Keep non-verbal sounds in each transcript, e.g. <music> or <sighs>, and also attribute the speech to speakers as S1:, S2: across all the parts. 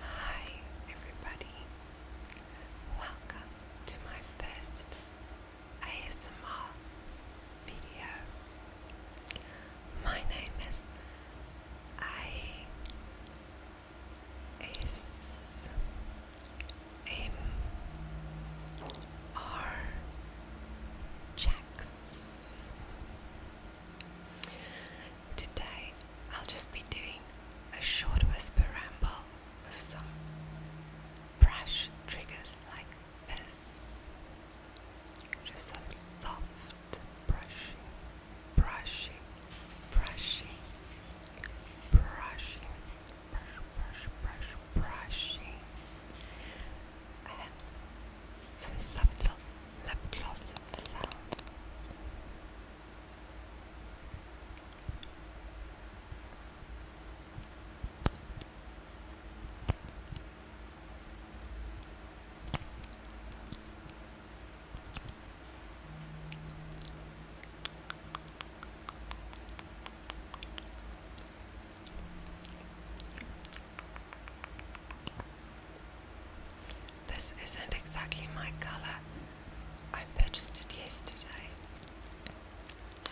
S1: Hi, everybody. Welcome to my first ASMR video. My name is I S M R Jax. Today I'll just be doing a short whisper ramble with some brush triggers like this. Just some soft brushing, brushing, brushing, brushing, brush, brush, brush, brushing. And some subtle lip gloss sounds. This isn't exactly my color. I purchased it yesterday.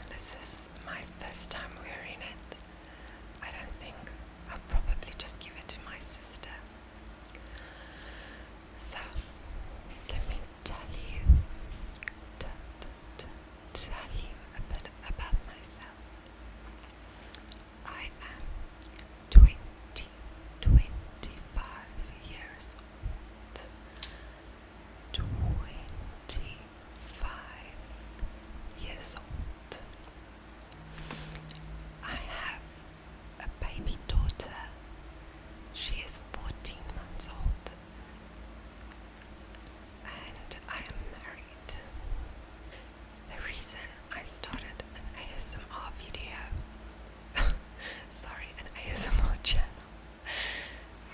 S1: This is my first time wearing it. I don't think I'll probably just give it to my sister. So, let me tell you, tell you a bit about myself. I am 20, years old. 25 years old. I have a baby daughter. She is 14 months old. And I am married. The reason I started an ASMR video, <laughs> sorry, an ASMR channel,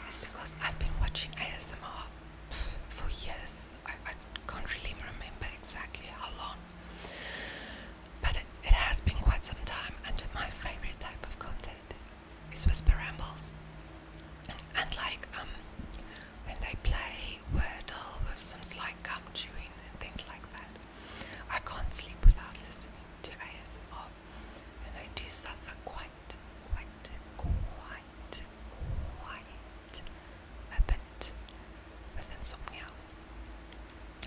S1: is because I've been watching ASMR for years. I, can't really remember exactly how long, but it, it has been quite some time, and my favorite type of content is whisper rambles. And like, um, when they play Wordle with some slight gum chewing and things like that. I can't sleep without listening to ASMR, and I do suffer quite, quite, quite, quite a bit with insomnia,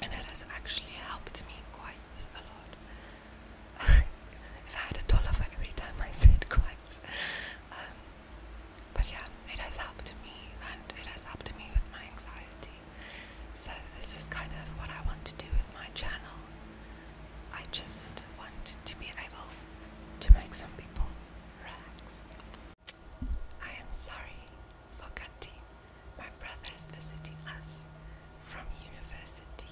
S1: and it has actually helped me quite a lot. <laughs> if I had a dollar for every time I said quite, um, but yeah, it has helped me, and it has helped me with my anxiety. So this is kind of what I want to do with my channel. I just want to be able to make some people relax. I am sorry for Kati. My brother is visiting us from university.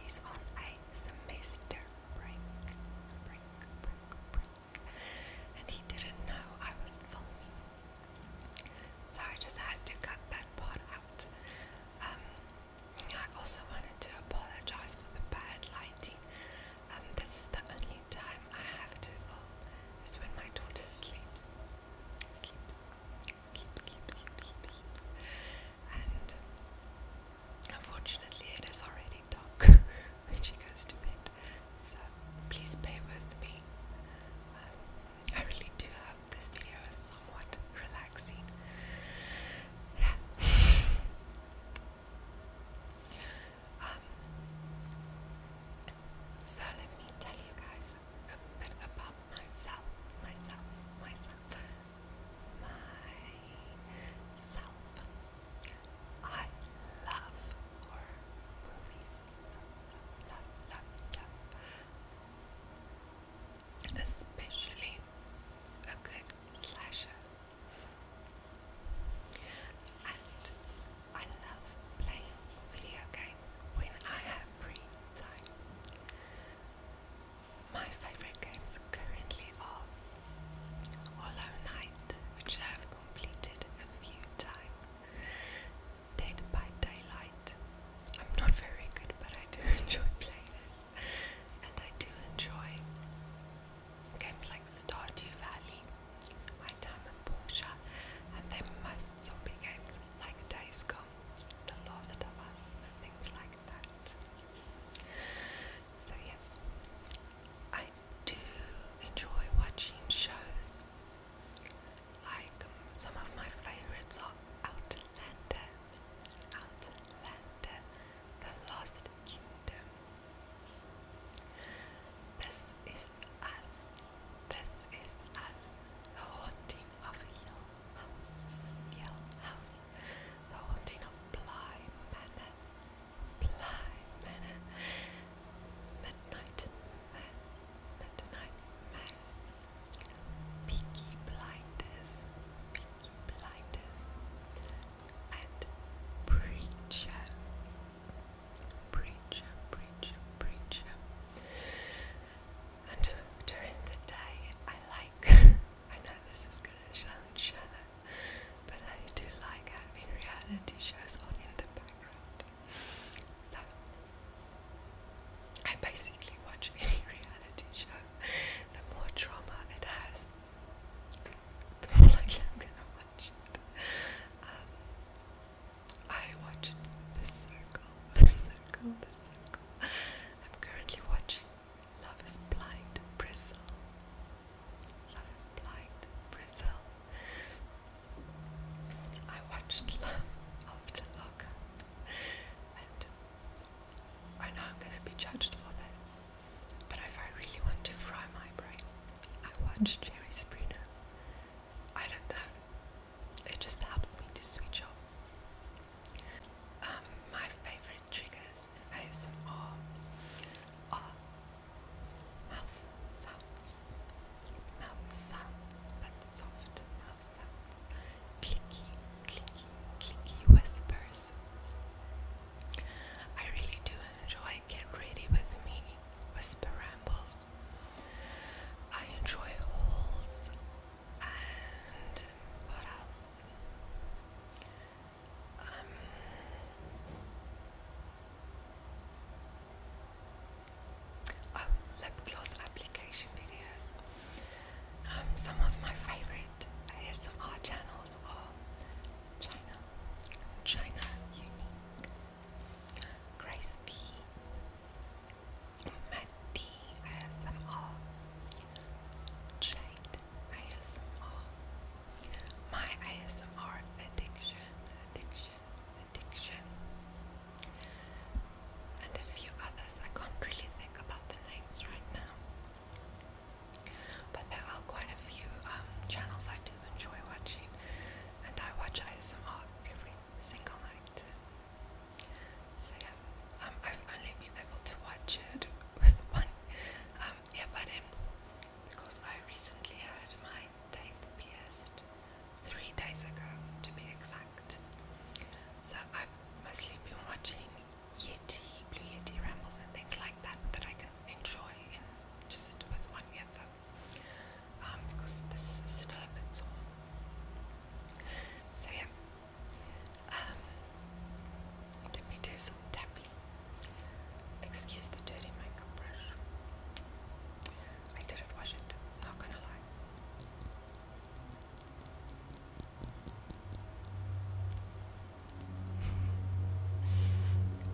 S1: He's on a semester break, break, break, break. And he didn't know I was filming. So I just had to cut that part out. Um, I also wanted to apologize for the bad lighting. Um, this is the only time I have to film is when my daughter sleeps. Sleeps. Sleep, sleep, sleep, sleep, sleep and unfortunately it is already dark <laughs> when she goes to bed so please bear with me um, I really do hope this video is somewhat relaxing yeah <sighs> um, so let me tell you guys a bit about myself myself myself myself. I love horror movies. Especially a good slasher. And I love playing video games when I have free time. My favorite games currently are Hollow Knight, which I have completed a few times, Dead by Daylight. I'm not very good, but I do <laughs> enjoy playing it, and I do enjoy games like Stardew Valley, My Time and Porsche, and then most zombie games like Days Gone. The Last of Us and things like that. So yeah, I do enjoy watching shows. Like um, some of my favorites are Outlander, Outlander, The Lost Kingdom. This is us. This is us. The haunting of Yell House, Yell the haunting of blind Manor, Bly Manor, Midnight Mass, Midnight Mass, Peaky Blinders, Peaky Blinders, and Preacher, Preacher, Preacher, Preacher and during the day I like, <laughs> I know this is going to sound shallow, but I do like having reality shows on in the background. So, I basically watch <laughs> any reality show. The more drama it has, the more I'm going to watch it. Um, I watched The Circle, The Circle, The Circle. I'm currently watching Love is Blind, Brazil. Love is Blind, Brazil. I watched Love After Lockup. And I know I'm gonna be judged for this, but if I really want to fry my brain, I watched Jerry Springer. I don't know. It just helps me to switch off. Um, my favorite triggers in ASMR are mouth sounds, mouth sounds, but soft mouth sounds, clicky, clicky, clicky whispers. I really do enjoy Get Ready With Me, Whisper Rambles. I enjoy halls and what else? Um, oh, lip gloss application videos. Um, some of my favorite ASMR channels are China, China Unique, Grace Matt D. Jade ASMR. My ASMR addiction, addiction, addiction. And a few others. I can't really think about the names right now. But there are quite a few um, channels I do enjoy watching, and I watch ISMR every single night. So yeah, um, I've only been able to watch it with <laughs> one um, ear because I recently had my tape pierced three days ago, to be exact. So I've mostly been watching Yeti, Blue Yeti rambles and things like that that I can enjoy just with one another um, because this is time it's all. So yeah, um, let me do some tapping. Excuse the dirty makeup brush. I didn't wash it, not gonna lie.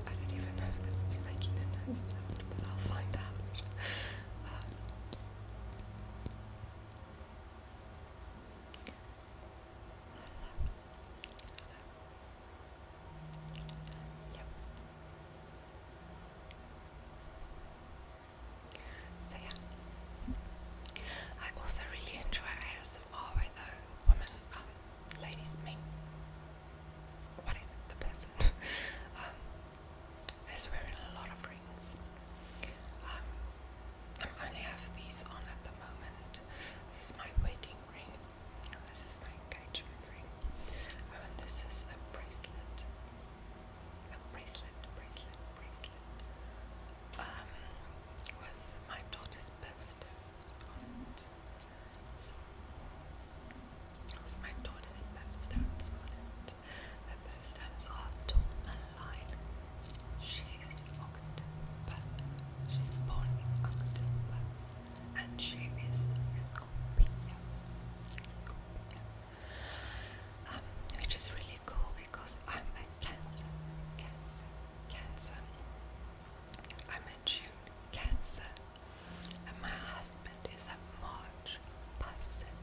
S1: I don't even know if this is making a nice but I'll find out. Um, so yeah, I also really enjoy are either women, um, ladies, men, whatever the person, <laughs> um, is wearing a lot of rings. Um, I only have these on at the moment. This is my wedding ring, this is my engagement ring, oh, and this is a bracelet. A bracelet, bracelet, bracelet. Um, with my daughter's birthstone so, my daughter's Bev Stamps on it. Her Bev Stamps are Dawn She is October. She's born in October. And she is Scorpio. Scorpio. Um, which is really cool because I'm a Cancer, Cancer, Cancer. I'm a June Cancer, and my husband is a March Pisces.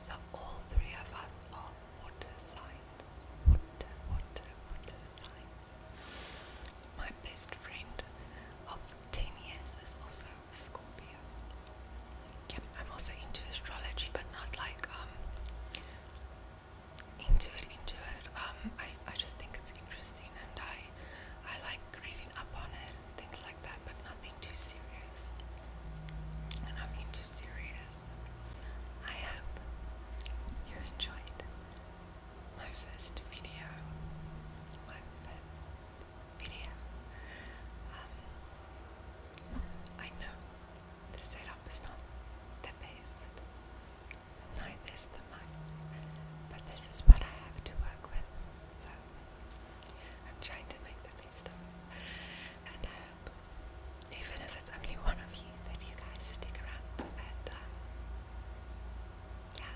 S1: So all three of us are water signs. Water, water, water signs. My best friend of 10 years is also a Scorpio. I'm also into astrology, but not like um into it, into it. Um, I, I just think it's interesting and I I like reading up on it things like that, but nothing too serious. Nothing too serious. I hope you enjoyed my first video. My first video. Um, I know the setup top not the best, neither is the mine, but this is what I have to work with, so I'm trying to make the best of it, and I hope, even if it's only one of you, that you guys stick around, and uh, yeah,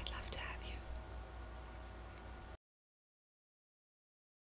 S1: I'd love to have you.